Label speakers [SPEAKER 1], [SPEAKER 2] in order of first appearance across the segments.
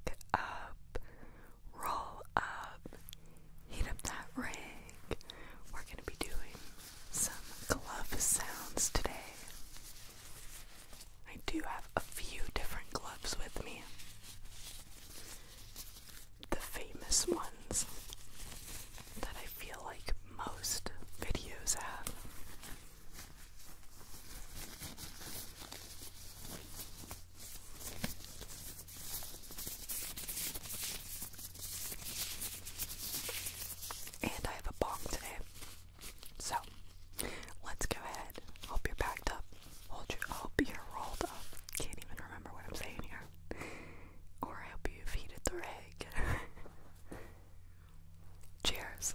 [SPEAKER 1] back up, roll up, heat up that rig. We're going to be doing some glove sounds today. I do have a few different gloves with me. The famous ones that I feel like most videos have. And I have a bong today. So let's go ahead. Hope you're packed up. Hold your hope you're rolled up. Can't even remember what I'm saying here. Or I hope you've heated the rig. Cheers.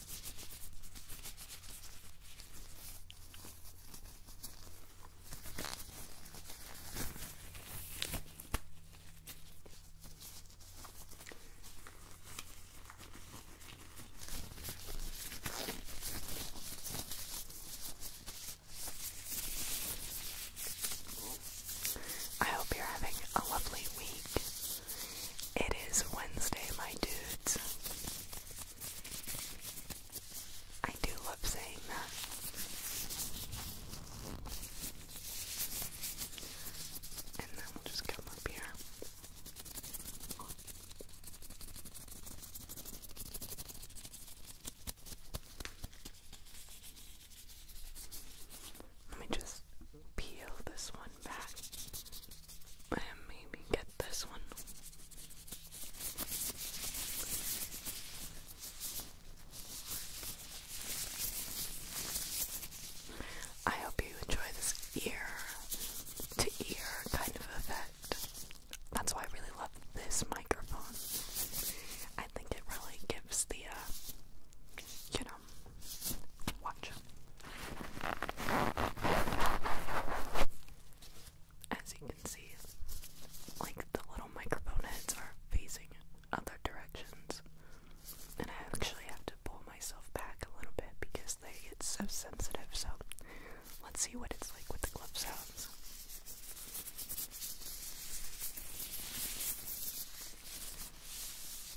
[SPEAKER 1] I hope you're having a lovely week. It is Wednesday, my dudes. I do love saying that. And then we'll just come up here. Let me just peel this one back and maybe get this one. I hope you enjoy this ear to ear kind of effect. That's why I really love this microphone. I think it really gives the, uh, you know, watch. As you can see, like the little microphone heads are facing other directions. And I actually have to pull myself back a little bit because they get so sensitive. So let's see what it's like with the glove sounds.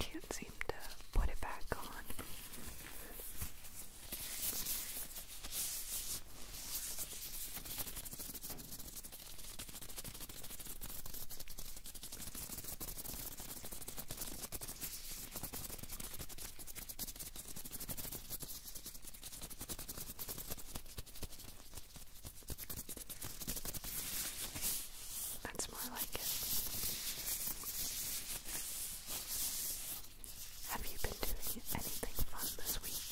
[SPEAKER 1] Can't seem to put it back on. That's more like it. Have you been doing anything fun this week?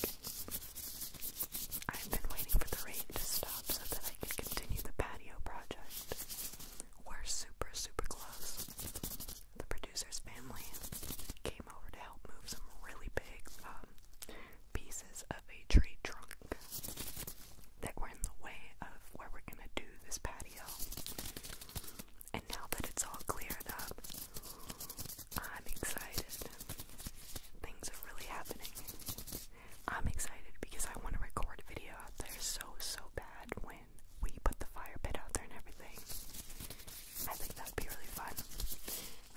[SPEAKER 1] I've been waiting for the rain to stop so that I can continue the patio project. We're super, super close the producer's family came over to help move some really big um, pieces of a tree trunk that were in the way of where we're gonna do this patio. And now that it's all cleared up, I'm excited. Things are really happening. I'm excited because I want to record a video out there so, so bad when we put the fire pit out there and everything. I think that'd be really fun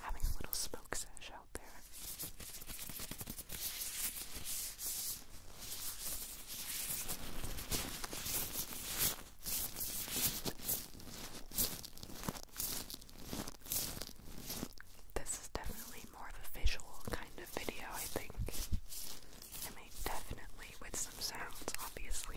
[SPEAKER 1] having a little smoke sesh out there. This is definitely more of a visual kind of video, I think. I definitely with some sounds, obviously.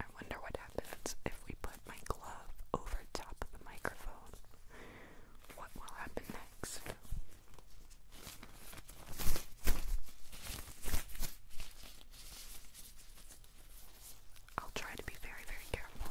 [SPEAKER 1] I wonder what happens if we put my glove over top of the microphone. What will happen next? I'll try to be very, very careful.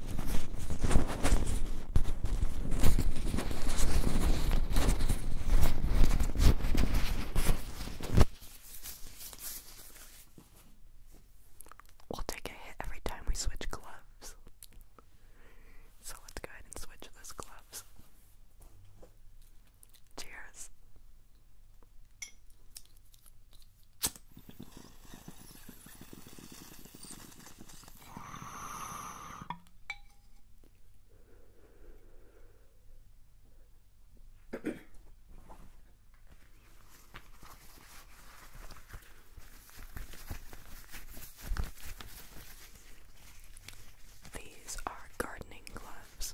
[SPEAKER 1] We'll take a hit every time we switch gloves. So let's go ahead and switch those gloves. Cheers. These are gardening gloves.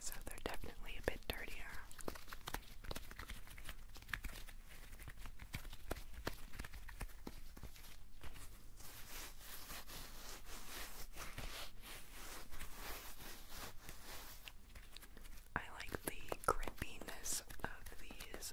[SPEAKER 1] So they're definitely a bit dirtier. I like the grippiness of these.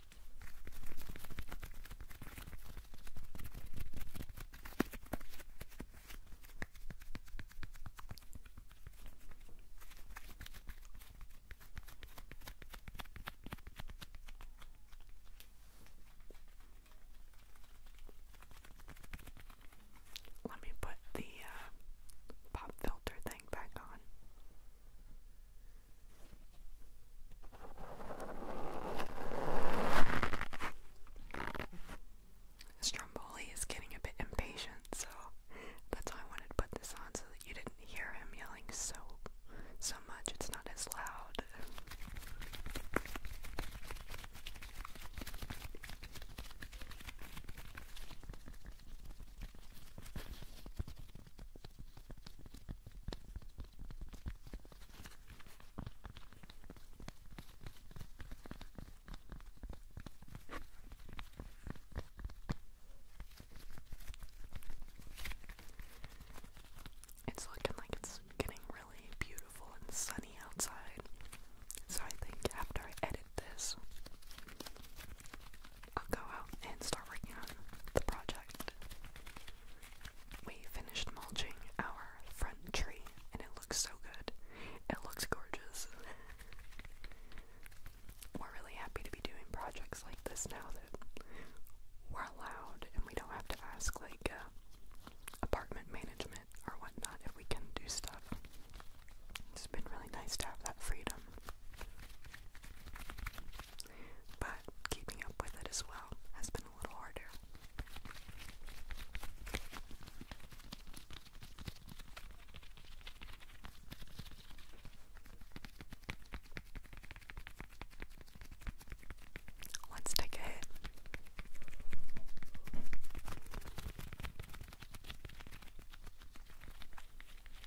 [SPEAKER 1] Let me put the uh, pop filter thing back on. Stromboli is getting a bit impatient, so that's why I wanted put this on so that you didn't hear him yelling so so much. It's not as loud. It's looking like it's getting really beautiful and sunny outside. So I think after I edit this, I'll go out and start working on the project. We finished mulching our front tree and it looks so good. It looks gorgeous. We're really happy to be doing projects like this now that we're allowed and we don't have to ask like uh, apartment management or whatnot if we can do stuff. It's been really nice to have that freedom. But keeping up with it as well has been a little harder. Let's take a hit.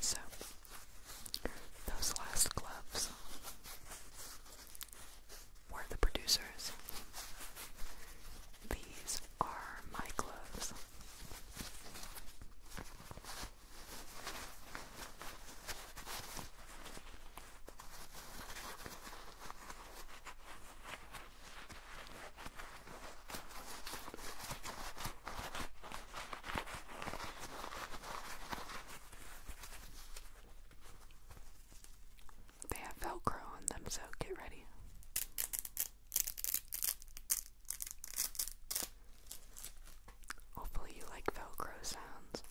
[SPEAKER 1] So, those last gloves were the producers. These are my gloves. They have Velcro on them, so get ready. Hopefully, you like Velcro sounds.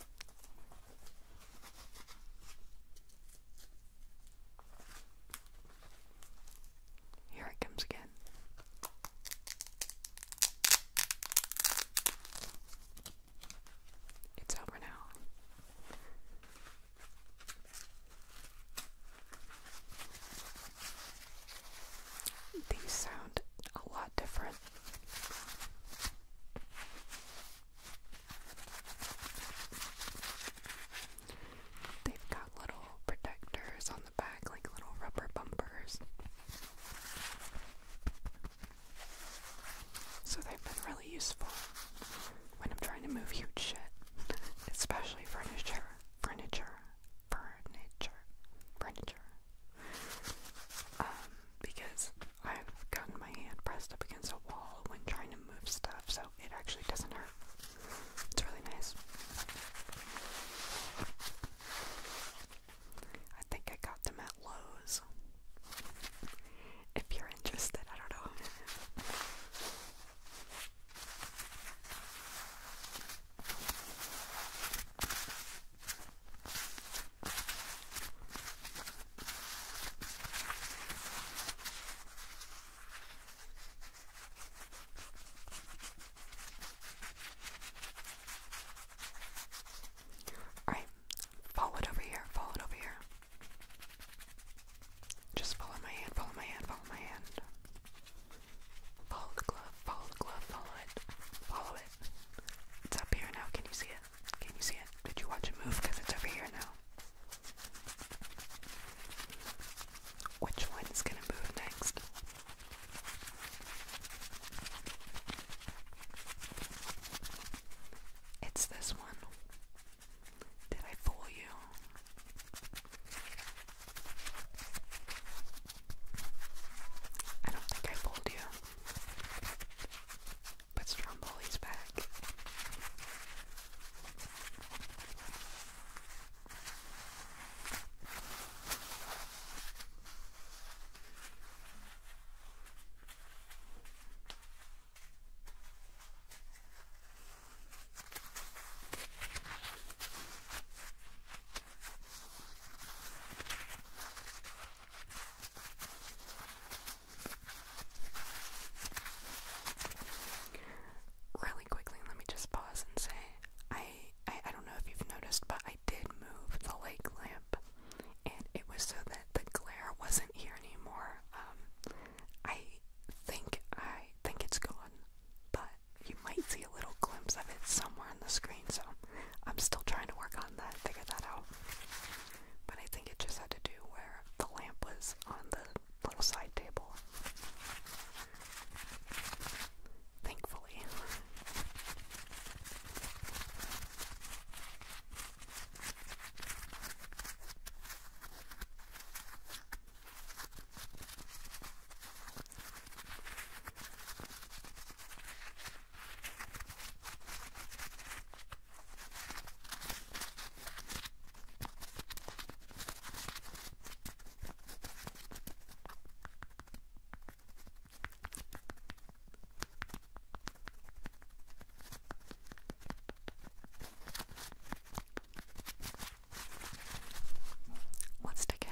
[SPEAKER 1] Here it comes again. It's over now. These sound a lot different They've got little protectors on the back, like little rubber bumpers. So they've been really useful when I'm trying to move huge shit, especially furniture, furniture, furniture, furniture. Um, because I've gotten my hand pressed up against a wall when trying to move stuff, so it actually doesn't hurt. It's really nice. I think I got them at Lowe's. If you're interested, I don't know. All right, follow it over here, follow it over here. Just follow my hand, follow my hand, follow my hand. Follow the glove, follow the glove, follow it, follow it. It's up here now, can you see it? Can you see it? Did you watch it move? Because it's over here now. Which one is going to move next? It's this one. Did I fool you? I don't think I fooled you. But Stromboli's back. Really quickly, let me just pause and say I, I I don't know if you've noticed, but I did move the lake lamp, and it was so that the glare wasn't here anymore. Um, I think I think it's gone, but you might see a little glimpse of it somewhere on the screen. So I'm still trying to work on that, figure that out. But I think it just had to do where the lamp was on the little side table. Thankfully. Let's take it.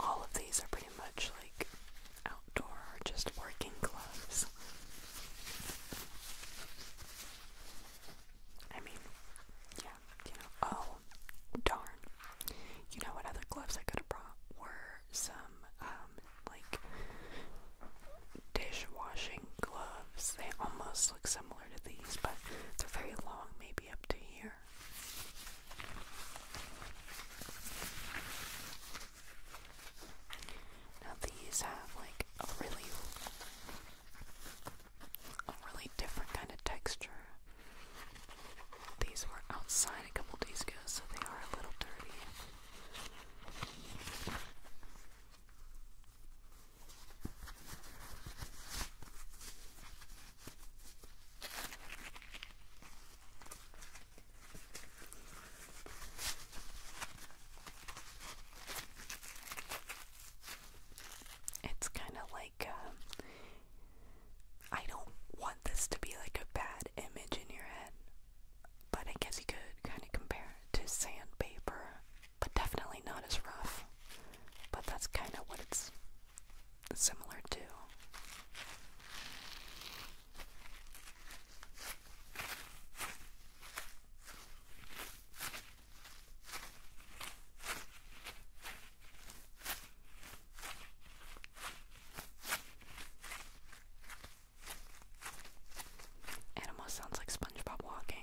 [SPEAKER 1] all of these are pretty much like outdoor or just working gloves. I mean, yeah, you know, oh, darn. You know what other gloves I could have brought were some, um, like, dishwashing gloves. They almost look similar to these, but they're very long, maybe up to here. Now these have like a really a really different kind of texture. These were outside a couple days ago, so they are a little dirty. It's kind of like uh, I don't want this to be like a bad image in your head, but I guess you could kind of compare it to sandpaper, but definitely not as rough. But that's kind of what it's similar to. It sounds like SpongeBob walking.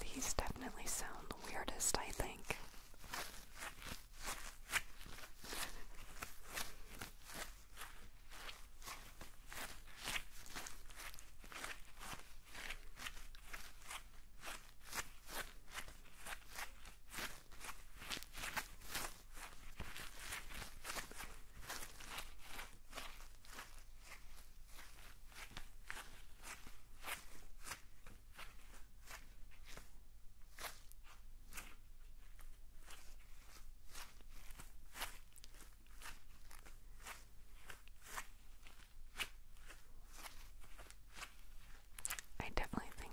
[SPEAKER 1] These definitely sound the weirdest, I think. I definitely think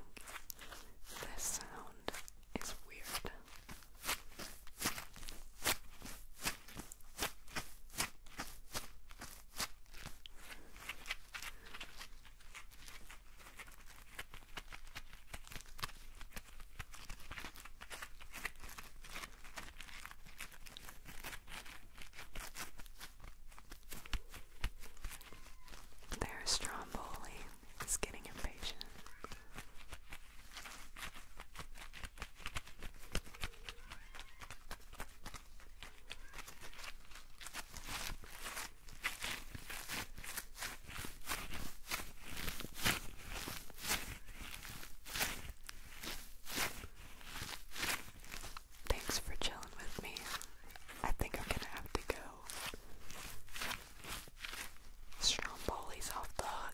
[SPEAKER 1] this sound is weird. There's Stromboli is getting impatient. Thanks for chilling with me. I think I'm gonna have to go. Stromboli's off the hook.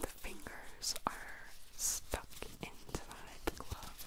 [SPEAKER 1] The fingers are stuck into the glove.